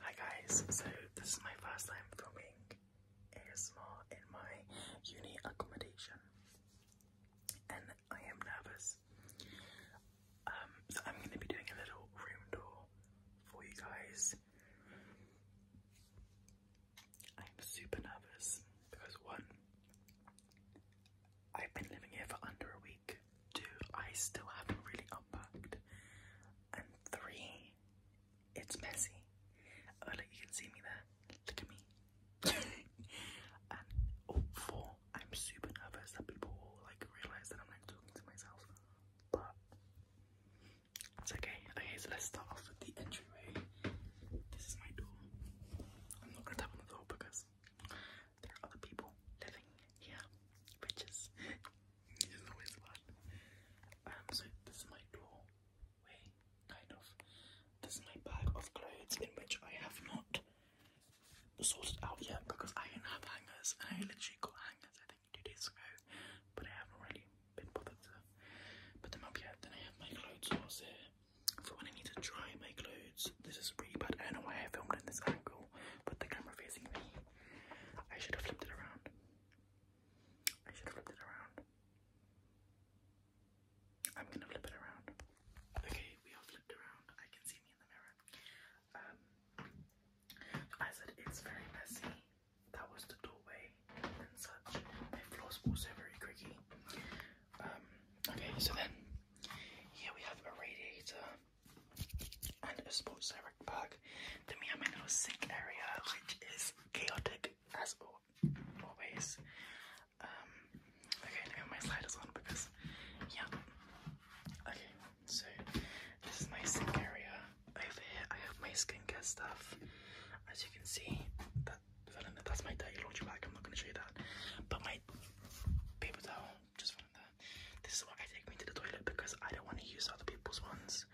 Hi guys, so this is my first time filming ASMR in my uni accommodation and I am nervous. Um, so I'm going to be doing a little room tour for you guys. I'm super nervous because one, I've been living here for under a week Two, I still haven't really unpacked. And three, it's messy. Oh you can see me there. Look at me. and oh, four, I'm super nervous that people like realize that I'm like talking to myself. But it's okay. Okay, so let's start off with the entryway. This is my door. I'm not gonna tap on the door because there are other people living yeah, riches is always fun. Um, so this is my doorway, kind of. This is my bag of clothes in which I have not sorted out yet because I don't have hangers and I literally got hangers I think two days ago, but I haven't really been bothered to put them up yet. Then I have my clothes horse here for when I need to dry my clothes. This is really bad. I don't know why I filmed in this angle, but the camera facing me I should have flipped it around. I should have flipped it around. I'm gonna flip it around. Okay, we are flipped around. I can see me in the mirror. Um, I said it's very messy. That was the doorway and such. My floor's also very creaky. Um, okay, so then here we have a radiator and a sports direct perk. The Meow Minnow sink area, which is chaotic as always. Um, okay, let me have my sliders on because, yeah. Okay, so this is my sink area. Over here, I have my skincare stuff. As you can see, that that's my dirty laundry bag. I'm not going to show you that. But my paper towel just from there. This is why I take me to the toilet because I don't want to use other people's ones.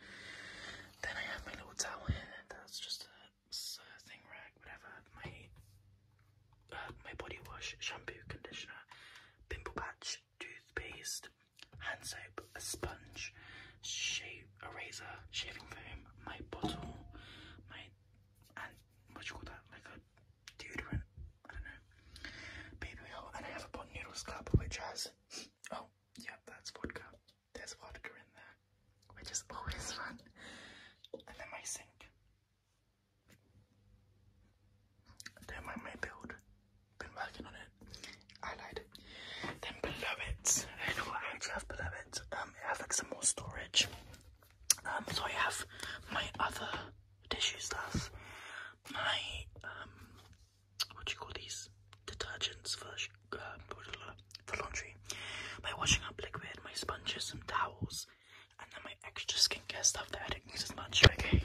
Then I have my little towel here. That's just a thing rack, whatever. My uh, my body wash, shampoo, conditioner, pimple patch, toothpaste, hand soap, a sponge, shave, a razor, shaving foam, my bottle, my and what you call that? Like a deodorant. I don't know. Baby oil, and I have a pot noodle scrub which has. Oh, yeah, that's vodka. There's vodka in there, which is always fun. And then my sink. Don't mind my build. Been working on it. I Then below it, I know what I have below it. Um, I have like some more storage. Um, so I have my other tissues that's my um what do you call these detergents for uh, the laundry my washing up liquid my sponges some towels and then my extra skincare stuff that i don't use as much okay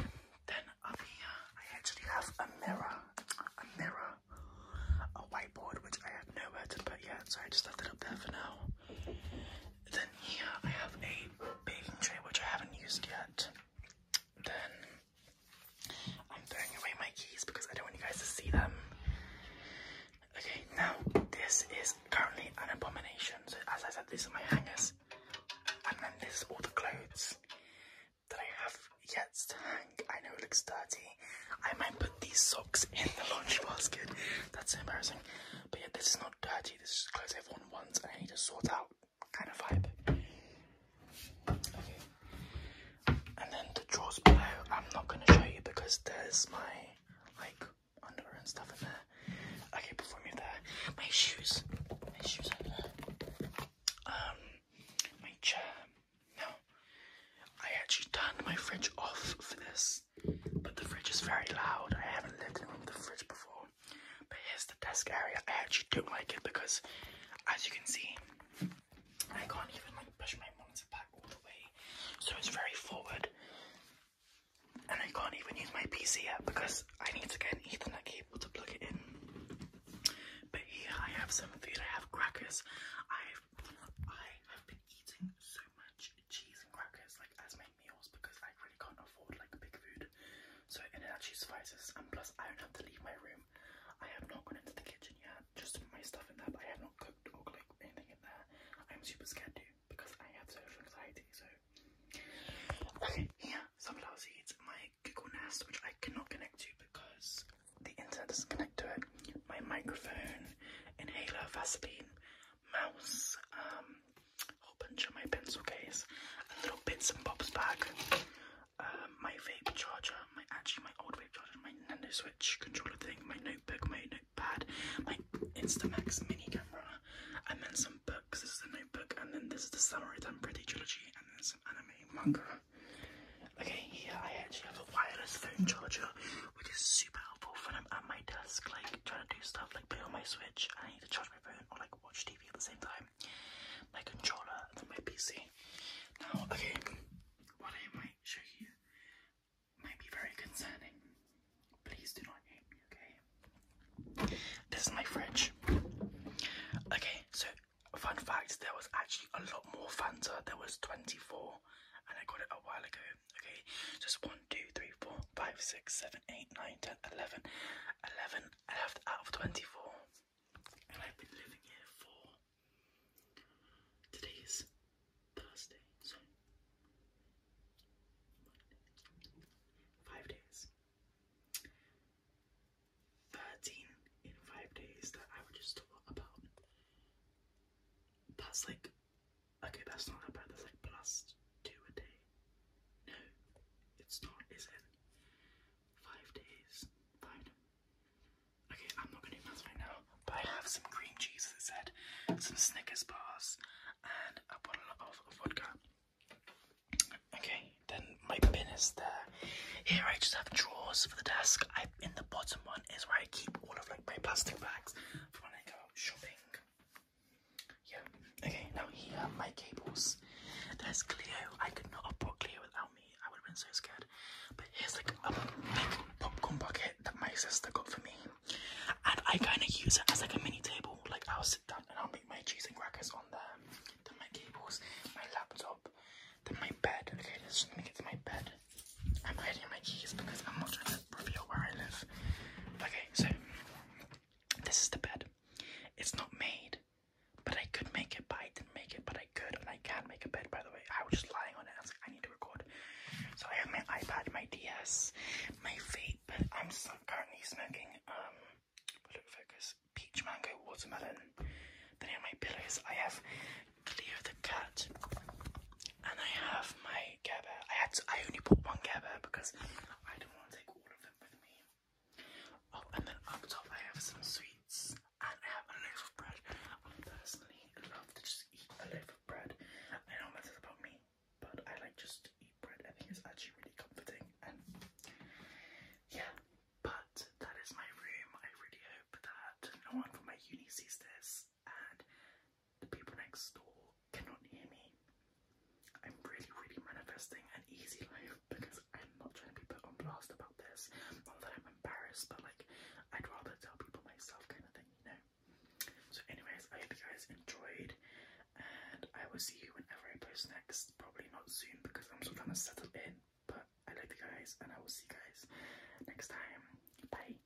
then up here i actually have a mirror a mirror a whiteboard which i have nowhere to put yet so i just left it up there for now then here I have a baking tray which I haven't used yet. Then I'm throwing away my keys because I don't want you guys to see them. Okay, now this is currently an abomination. So as I said, these are my hangers. And then this is all the clothes that I have yet to hang. I know it looks dirty. I might put these socks in the laundry basket. That's embarrassing. But yeah, this is not dirty. This is clothes i important I need to sort out kind of vibe. Okay. And then the drawers below, I'm not going to show you because there's my like underwear and stuff in there. Okay, before we there, my shoes. My shoes are there. Um, my chair. Now, I actually turned my fridge off for this, but the fridge is very loud. I haven't lived in a room with a fridge before. But here's the desk area. I actually don't like it because, as you can see, I can't even like push my monitor back all the way, so it's very forward. And I can't even use my PC yet because I need to get an Ethernet cable to plug it in. But here I have some food. I have crackers. I've I have been eating so much cheese and crackers like as my like meals because I really can't afford like big food. So and it actually suffices and plus I don't have to leave my room. I have not gone into the kitchen yet, just my stuff in there, but I have not cooked or like anything in there. I'm super scared to because I have social anxiety, so Okay, here, sunflower seeds, my Google Nest, which I cannot connect to because the internet doesn't connect to it. My microphone, inhaler, Vaseline, mouse, um, whole bunch of my pencil case, a little bits and bobs bag, um, my vape charger, my actually my old vape charger, my Nintendo Switch controller thing, my notebook, my notepad, my Instamax mini camera, and then some books. This is the notebook, and then this is the Samurai Pretty trilogy, and then some anime manga. Okay, here I actually have a wireless phone charger, which is super helpful when I'm at my desk, like trying to do stuff, like play on my Switch I need to charge my phone or like watch TV at the same time. My controller and my PC. Now, okay, what I might show you might be very concerning. Please do not hate me, okay? This is my fridge. Okay, so fun fact there was actually a lot more Fanta. There was 24 and I got it a while ago. Okay, just 1, 2, 3, 4, 5, 6, 7, 8, 9, 10, 11, 11 left out of 24. And I've been living here for. Today is Thursday, so. Five days. 13 in five days, that averages to what about? That's like Okay, that's not that bad. That's like plus two a day. No, it's not, is it? Five days. Okay, I'm not gonna do maths right now, but I have some cream cheese, as I said, some Snickers bars, and a bottle of vodka. Okay, then my bin is there. Here I just have drawers for the desk. I in the bottom one is where I keep all of like my plastic bags for when I go shopping. Yeah. Okay, now here are my cables. There's Cleo. I could not have brought Cleo without me. I would have been so scared. But here's like a big popcorn bucket that my sister got for me. And I kind of use it as like a mini table. Like I'll sit down and I'll make my cheese and crackers on there. Then my cables, my laptop, then my bed. Okay, let's just let get to my bed. I'm hiding my keys because I'm not trying to reveal where I live. Okay, so this is the bed. It's not made, but I could make it, but I didn't make it, but I could, and I can make a bed, by the way. I was just lying on it, I was like, I need to record. So I have my iPad, my DS, my vape, but I'm currently smoking, um, put it focus, peach mango watermelon. Then on my pillows, I have Cleo the cat, and I have my my I had I only bought one Care because I do not want to take all of them with me. Oh, and then up top I have some sweets I have a loaf of bread. I personally love to just eat a loaf of bread. I know that is about me, but I like just to eat bread. I think it's actually really comforting and yeah. But that is my room. I really hope that no one from my uni sees this and the people next door cannot hear me. I'm really, really manifesting an easy life because I'm not trying to be put on blast about this. Although I'm embarrassed, but like I'd rather tell people myself kind of thing, you know. So anyways, I hope you guys enjoyed and I will see you whenever I post next. Probably not soon because I'm still trying to settle in, but I love you guys and I will see you guys next time. Bye.